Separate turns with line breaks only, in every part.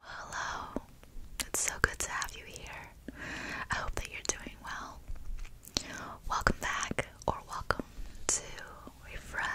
Hello. It's so good to have you here. I hope that you're doing well. Welcome back, or welcome to Refresh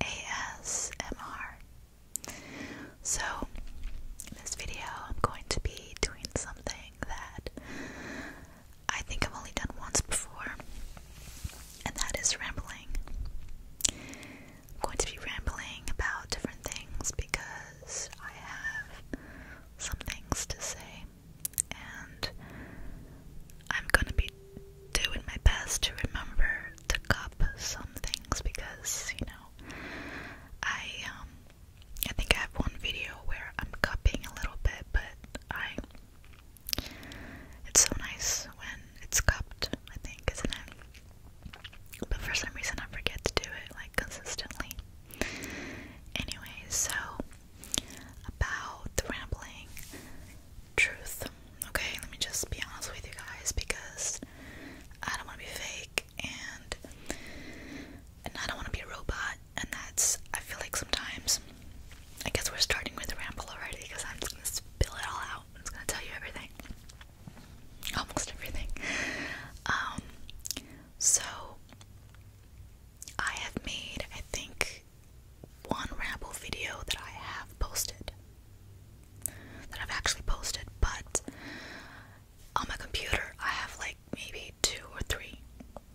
ASMR so, in this video, I'm going to be doing something that I think I've only done once before, and that is rambling. I'm going to be rambling about different things because I have some things to say, and I'm going to be doing my best to remember to cup some things because, you know, I um I think I have one video where I'm cupping a little bit, but I it's so nice when it's cupped, I think, isn't it? But for some reason I forget to do it like consistently. Anyway, so about the rambling truth. Okay, let me just be honest with you guys because I don't want to be fake and and I don't want to be a robot and that's I feel like sometimes I guess we're starting with a ramble already because I'm just gonna spill it all out. I'm just gonna tell you everything. Almost everything. Um so I have made I think one ramble video that I have posted that I've actually posted, but on my computer I have like maybe two or three.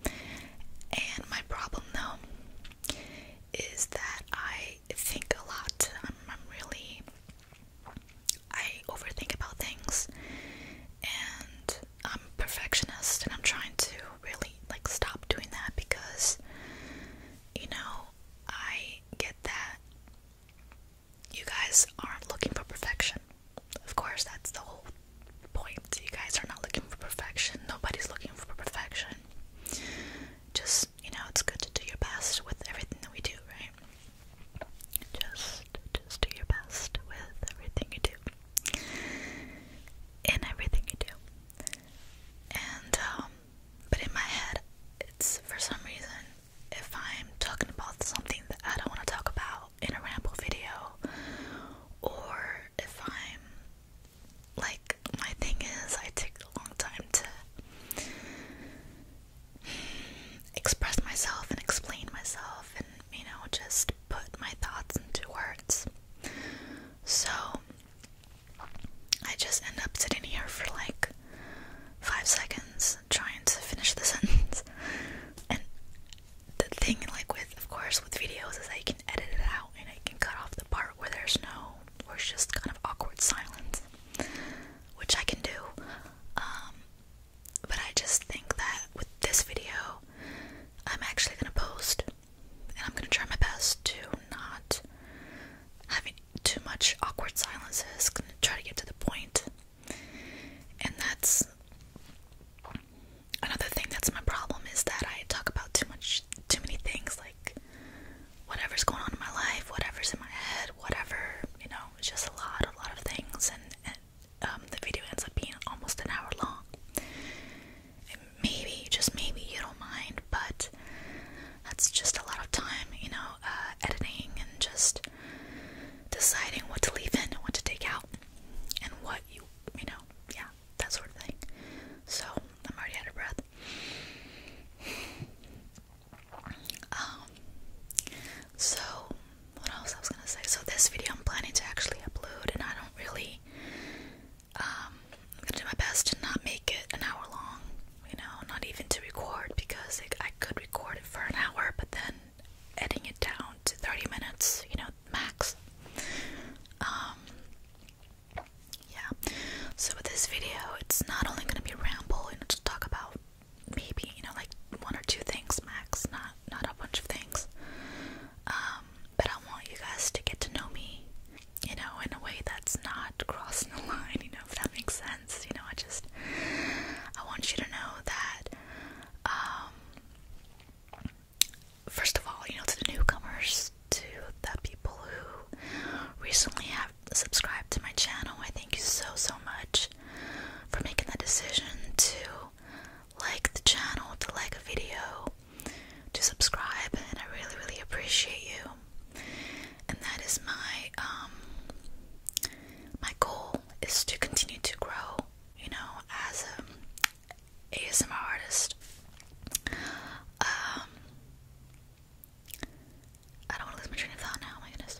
And my problem though is that I think a lot. I'm, really I overthink about things and I'm a perfectionist and I'm trying to really like stop doing that because you know I get that you guys aren't looking for perfection. Of course, that's the whole point. You guys are not looking for perfection. Nobody's looking for perfection. Just, you know, it's good to do your best with everything that we do, right? Just just do your best with everything you do. and everything you do. And um but in my head it's for some reason if I'm talking about something that I don't want to talk about in a ramble video, or if I'm like, my thing is, I take a long time to express myself and explain myself and, you know, just put my thoughts into words. So, I just end up sitting here for like five seconds trying to finish the sentence. And the thing, like with, of course, with videos, is that you can edit it out and I can cut off the part where there's no, where it's just kind of awkward silence, which I can do. Um, but I just think that with this video, I'm actually gonna post, and I'm gonna try my best to not have too much awkward silences, gonna try to get to the And that's another thing that's my problem is that I talk about too much too many things like whatever's going on in my life, whatever's in my head, whatever, you know, it's just a lot, a lot of things and, um, the video ends up being almost an hour long. And maybe, just maybe you don't mind, but and that's just a lot of time, you know, uh, editing and just deciding what to leave in and what to take out and what you, you know, yeah, that sort of thing. So I'm already out of breath. Um, so what else I was gonna say? So this video I'm planning to actually upload, and I don't really. Um, I'm gonna do my best to not make it an hour long you know, not even to record because it, I could record it for an hour, but then editing it down to 30 minutes, you know, max. Um, yeah. So with this video, it's not only going to be ramble and you know, just talk about maybe you know like one or two things max, not not a bunch of things. Um, but I want you guys to get to know me, you know, in a way that's not crossing the line, you know, if that makes sense. You know, I just I want you to know that um first of all, you know, to the newcomers, to the people who recently have subscribed to my channel, I thank you so so much for making that decision to like the channel, to like a video, to subscribe, and I really, really appreciate you and that is my um, my goal is to continue to grow you know as a asmr artist um, i don't want to lose my train of thought now my goodness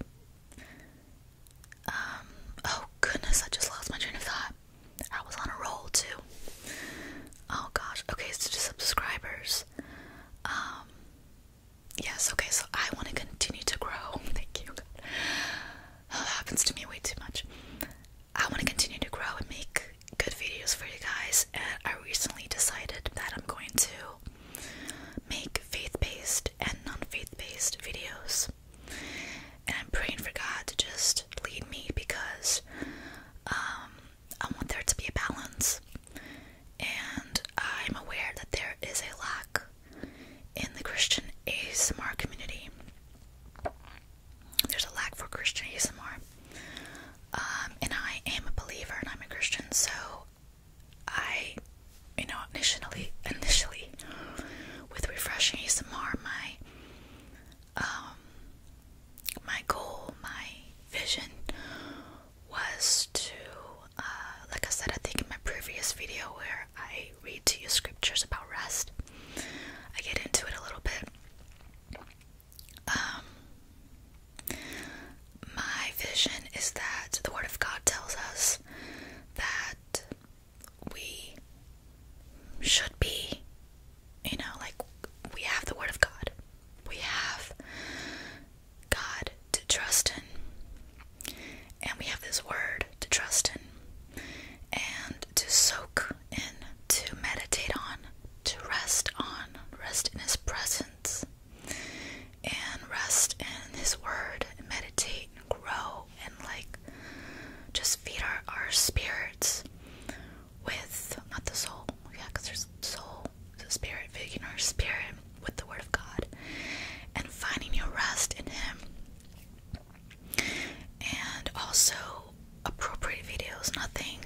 um oh goodness i just lost my train of thought i was on a roll too oh gosh okay so to subscribers um Yes, okay, so I want to continue to grow. Thank you. that happens to me way too much. I want to continue to grow and make good videos for you guys, and I recently decided that I'm going to make faith based and non faith based videos. And I'm praying for God to just lead me because um, I want there to be a balance and I'm aware that there is a lack in the Christian ASMR community. There's a lack for Christian ASMR, um, and I am a believer and I'm a Christian, so I, you know, initially, initially, with refreshing ASMR, my, um, my goal, my vision was to, uh, like I said, I think in my previous video where I read to you scriptures about rest, I get into it a little bit. Um, my vision is that the Word of God tells us that we should be, you know, like we have the Word of God, we have God to trust in. And we have this word to trust in and to soak in, to meditate on, to rest on, rest in His presence, and rest in His word, and meditate and grow, and like just feed our, our spirits with not the soul, Oh, yeah, because there's soul, the spirit, feeding our spirit with the Word of God, and finding your rest in Him, and also appropriate videos, nothing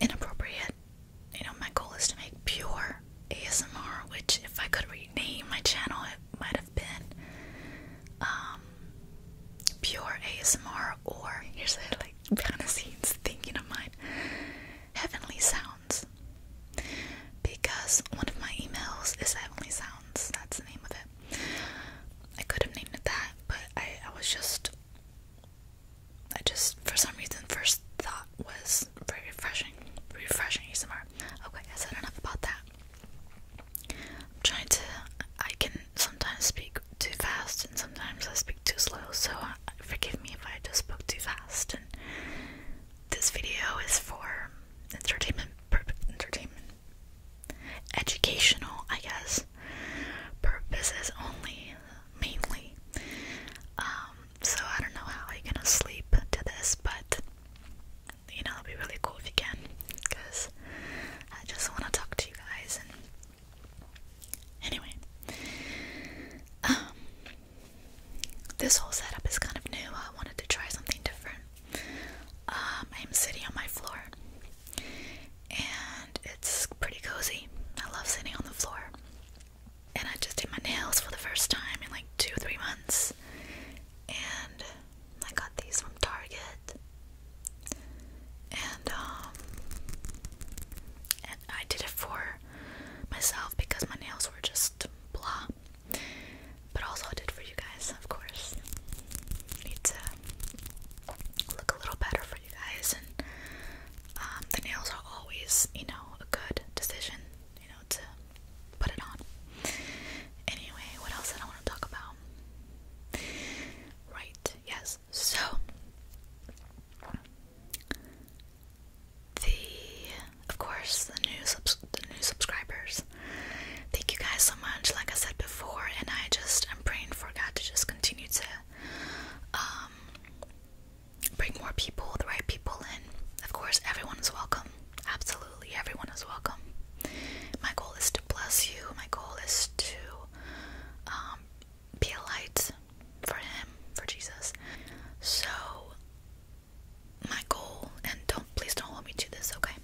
inappropriate. You know, my goal is to make pure ASMR, which if I could rename my channel, it might have been um, pure ASMR or here's a like behind the scenes thinking of mine. Heavenly Sounds because one of my emails is Heavenly Sounds. That's the name of it. I could have named it that, but I, I was just. I just, for some reason, first thought was very refreshing. Refreshing ASMR. Okay, I said enough about that. I'm trying to. I can sometimes speak too fast and sometimes I speak too slow, so uh, forgive me if I just spoke too fast. And this video is for entertainment, entertainment, educational, I guess, purposes only, mainly. Um, so I don't know how you're gonna sleep to this, but you know, it'll be really cool if you can, because I just want to talk to you guys and Anyway, um, this whole setup is kind of new. I wanted to try something different. I'm um, sitting on my floor, and it's pretty cozy. I love sitting on the floor, and I just did my nails for the first time in like two, or three months, and I got these from Target. Um, and I did it for myself because my nails were just blah. But also I did it for you guys, of course. Need to look a little better for you guys and um, the nails are always, you know, a good decision, you know, to put it on. Anyway, what else did I want to talk about? Right, yes. So the of course the new the new subscribers. Thank you guys so much. Like I said before, and I just I'm praying for God to just continue to um bring more people, the right people in. Of course, everyone is welcome. Absolutely, everyone is welcome. My goal is to bless you. My goal is to um, be a light for him, for Jesus. So my goal and don't please don't hold me to this, okay?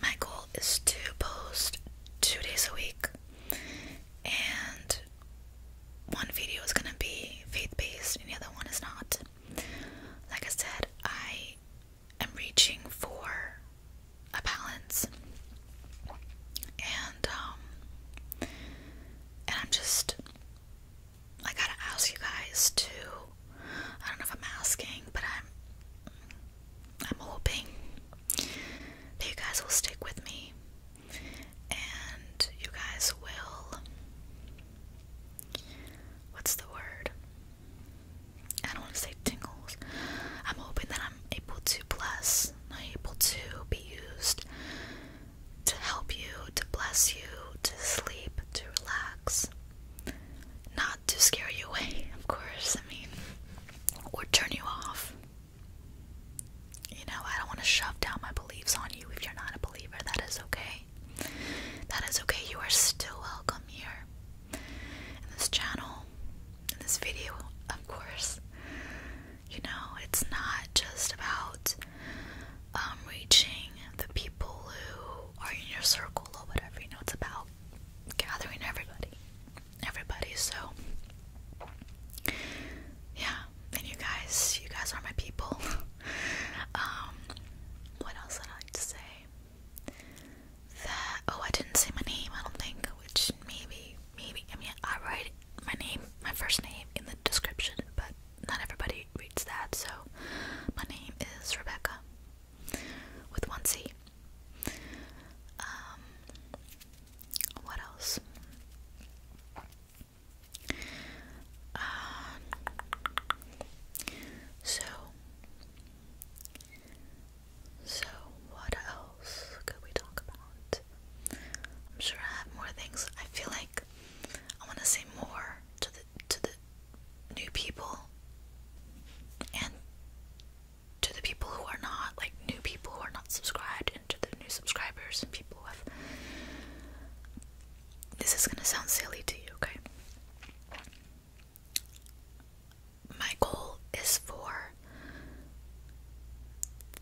My goal is to post two days a week and one video is gonna be faith-based and the other one is not. Like I said, I am reaching for a balance and um, and I'm just I gotta ask you guys to I don't know if I'm asking but I'm I'm hoping that you guys will stick with me and you guys will what's the word? I don't want to say tingles. I'm hoping that I'm able to bless able to be used to help you, to bless you, to sleep, to relax. Not to scare you away, of course, I mean, or turn you off. You know, I don't want to shove down my beliefs on you if you're not a believer. That is okay. That is okay. You are still welcome here in this channel, in this video, of course. You know, it's not just about um, reaching the people who are in your circle or whatever. You know, it's about gathering everybody, everybody. So, yeah. And you guys, you guys are my people. um, what else did I like to say? That oh, I didn't say my name. I don't think. Which maybe, maybe. I mean, I write my name, my first name in the description, but not everybody reads that, so my name is Rebecca with one C. Um, what else? Um, so, so what else could we talk about? I'm sure I have more things. I feel like I want to say more to the to the new people and to the people who are not like new people who are not subscribed and to the new subscribers and people who have this is gonna sound silly to you, okay? My goal is for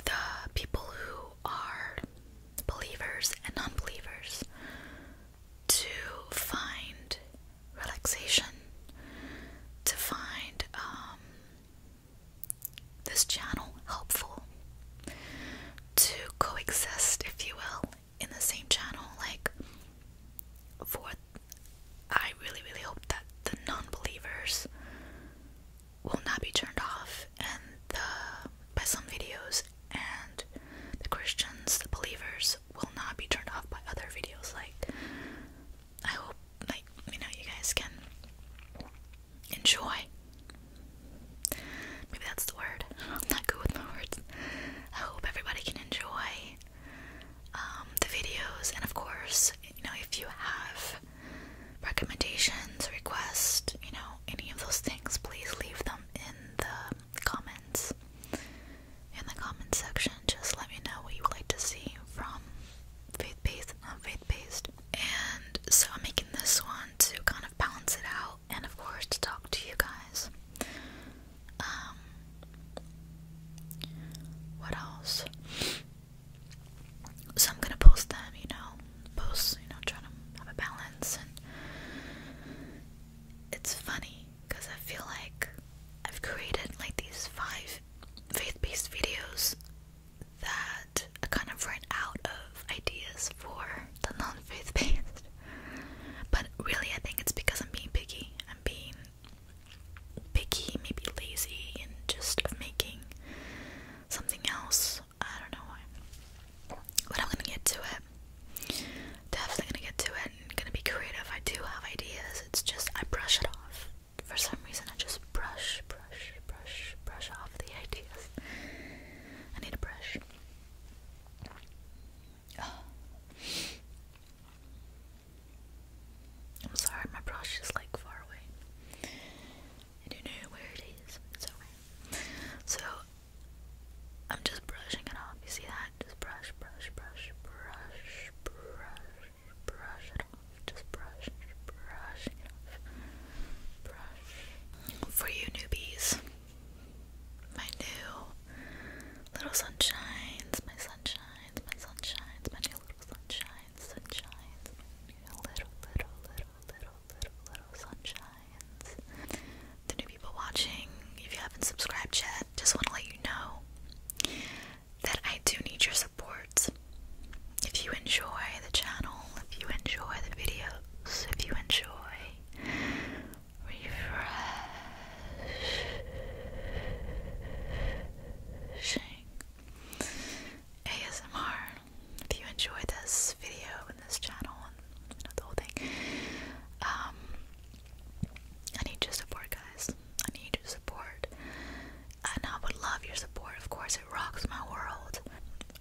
the people who are believers and non believers to find relaxation, to find um, this channel helpful, to coexist, if you will, in the same channel. Like, for I really, really hope that the non believers will not be turned off and by some videos and the Christians, the believers will not be turned off by other videos. Like I hope like you know you guys can enjoy. Maybe that's the word. I'm not good with my words. I hope everybody can enjoy um, the videos and of course, you know, if you have recommendations, requests, you know, any of those things, please leave them in the comments. In the comment section, just let me know what you would like to see from faith-based and faith-based. And so I'm making this one to kind of balance it out and of course to talk to you guys. Um what else? So I'm gonna post them, you know, posts, you know, trying to have a balance, and it's funny because I feel like I've created like these five faith-based videos that I kind of ran out of ideas for the non-faith-based, but really I think it's because I'm being picky. I'm being picky, maybe lazy, and just of making something else. I don't know why. But I'm gonna get to it. Definitely gonna get to it and gonna be creative. I do have ideas. It's just I brush it off. For some reason, I just brush, brush, brush, brush off the ideas. I need a brush. I'm sorry, my brush is like far away. don't know where it is. It's okay. So I'm just brushing it off. You see that? Just brush, brush, brush, brush, brush, brush it off. Just brush, brush it off. Brush. For you newbies, my new little sunshines, my sunshines, my sunshines, my new little sunshines sunshines, little, little, little, little, little, little sunshines. The new people watching, if you haven't subscribed yet, just want to let you know that I do need your support. If you enjoy the channel, if you enjoy the videos, if you enjoy refreshing ASMR. If you enjoy this video and this channel the whole thing, um, I need your support, guys. I need your support, and I would love your support. Of course, it rocks my world.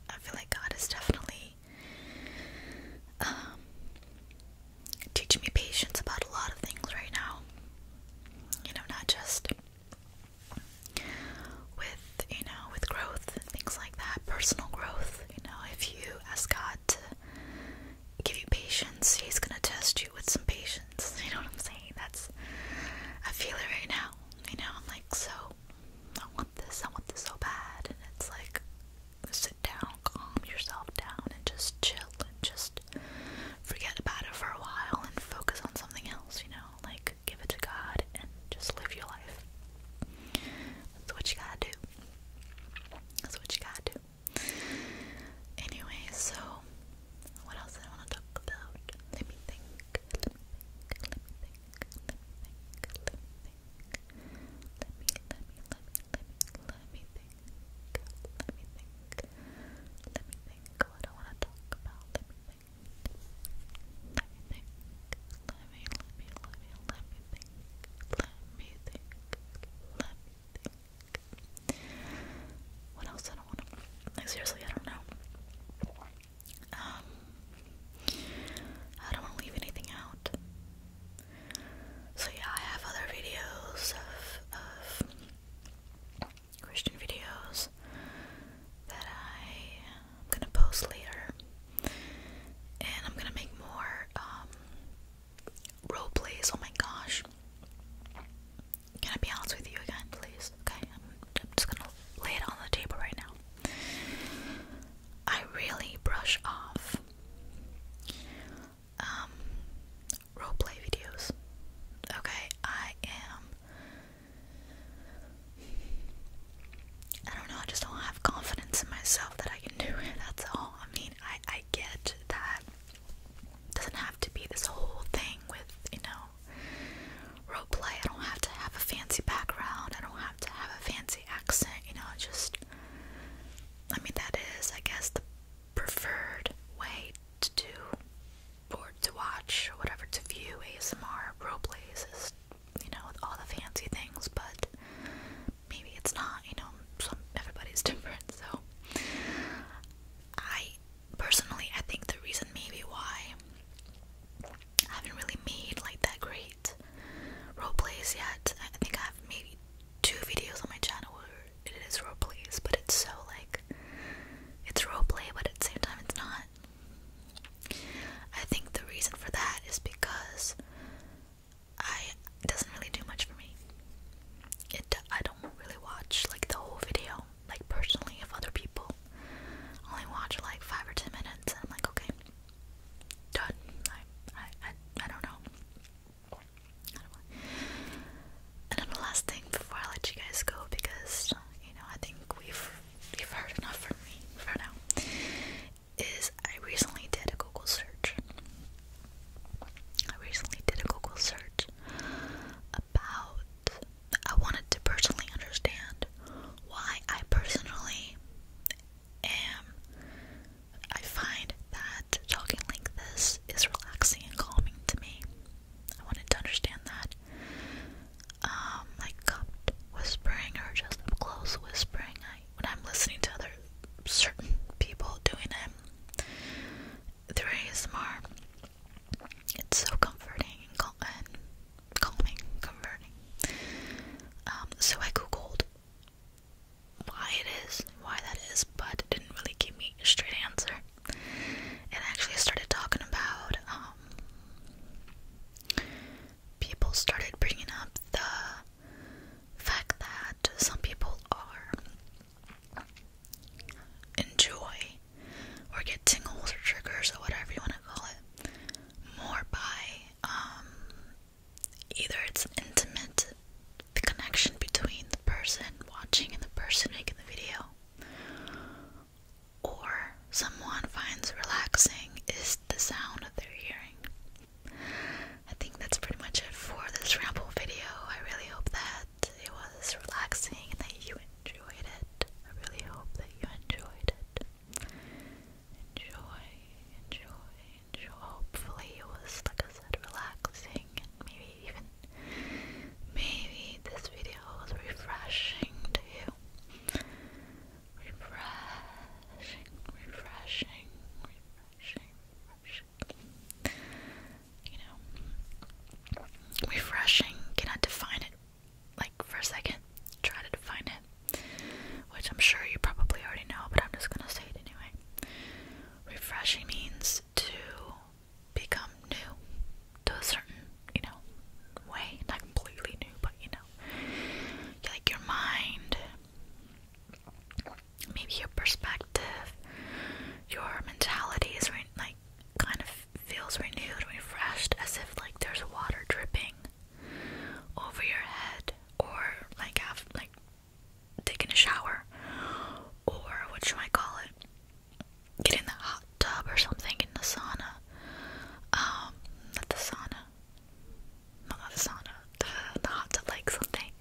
I feel like God is definitely um, teaching me patience about a lot of things right now. You know, not just with you know with growth and things like that personal growth you know if you ask god to give you patience he's gonna test you with some patience you know what i'm saying that's i feel it right now you know i'm like so i want this i want this so bad and it's like sit down calm yourself down and just chill and just forget about it for a while and focus on something else, you know? Like, give it to God and just live your life. That's what you gotta do. That's what you gotta do. Anyway, so what else did I want to talk about? Let me think. Let me think. Let me think. Let me think. Let me Let me let let me think. Let me think. Let me think think what I want to talk about. Let me think. Let me think. Let me, let me, let me, let me think. Let me think. Let me think. What else I don't want to. Like, seriously, I don't know. Um, I don't want to leave anything out. So yeah, I have other videos of Christian videos that I'm gonna post later. And I'm gonna make more um, role plays. Oh my gosh. Can I be honest with you again, please? Okay, I'm, just gonna lay it on the table right now. I really brush off um, roleplay videos. Okay, I am. I don't know, I just don't have confidence in myself that I can do That's all. I mean, I, I get that. Doesn't have to be this whole thing with, you know, role I don't have to have a fancy background. I don't have to have a fancy accent, you know, just I mean that is, I guess, the preferred way to do or to watch, or whatever, to view ASMR, roleplays, is, you know, all the fancy things, but maybe it's not, you know, some, everybody's different, so I personally, I think the reason maybe why I haven't really made like that great roleplays yet, I think I've made two videos on my channel it is roleplay, but it's so like it's roleplay, but at the same time it's not. I think the reason for that is because I it doesn't really do much for me. It I don't really watch like the whole video, like personally of other people. I only watch like five or ten minutes, and I'm like, okay, done. I I I don't know. And then the last thing before I let you guys go, because you know I think we've you've heard enough from me for now, is I recently did a Google search. I recently did a Google search about I wanted to personally understand why I personally am I find that talking like this is relaxing and calming to me. I wanted to understand that. Um, cupped whispering or just close whispering. I, when I'm listening to other certain people doing it through ASMR, it's so comforting and, calming, comforting. Um, so I googled why it is, why that is, but didn't really give me a straight answer and actually started talking about um, people started bringing up the fact that some people are enjoy or get tingles or triggers or whatever you want to call it more by um, either it's intimate the connection between the person watching and the person making the video or someone finds relaxing is the sound of their hearing. I think that's pretty much it for this ramble video. I really hope that it was relaxing and that you enjoyed it. I really hope that you enjoyed it. Enjoy, enjoy, enjoy. Hopefully, it was, like I said, relaxing refreshing maybe even maybe this video was refreshing to you. Refreshing, refreshing, refreshing, refreshing. You know refreshing, cannot define it like for a second. Try to define it. Which I'm sure you probably already know, but I'm just gonna say it anyway. Refreshing means to become new to a certain, you know, way. Not completely new, but you know, like your mind, maybe your perspective, your mentality is like kind of feels renewed, refreshed, as if like there's water dripping over your head, or like after like taking a shower, or what should I call it? Get in the hot tub or something in the sauna. Um, not the sauna. No, not the sauna. The, the hot tub, like something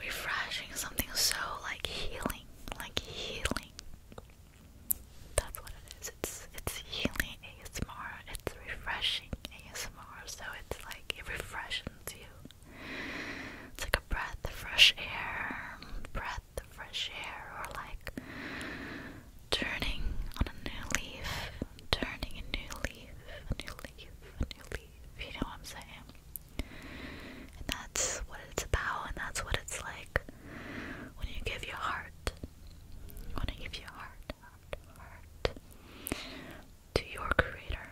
refreshing, something so like healing, like healing. That's what it is. It's it's healing ASMR. It's refreshing ASMR. So it's like it refreshes you. It's like a breath of fresh air, breath the fresh air or like turning on a new leaf, turning a new leaf, a new leaf, a new leaf. You know what I'm saying? And that's what it's about, and that's what it's like when you give your heart, when you give your heart, heart, heart to your creator,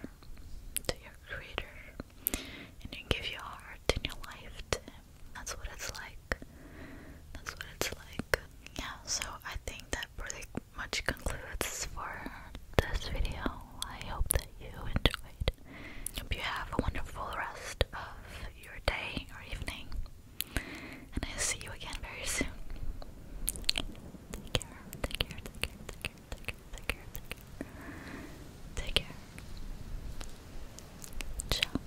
to your creator and you give your heart and your life to him. That's what it's like. That's what it's like. Yeah, so I think that pretty much concludes for this video. I hope that you enjoyed. Hope you have a wonderful rest of your day or evening. And I'll see you again very soon. Take care, take care, take care, take care. Take care, take care, take care. Ciao.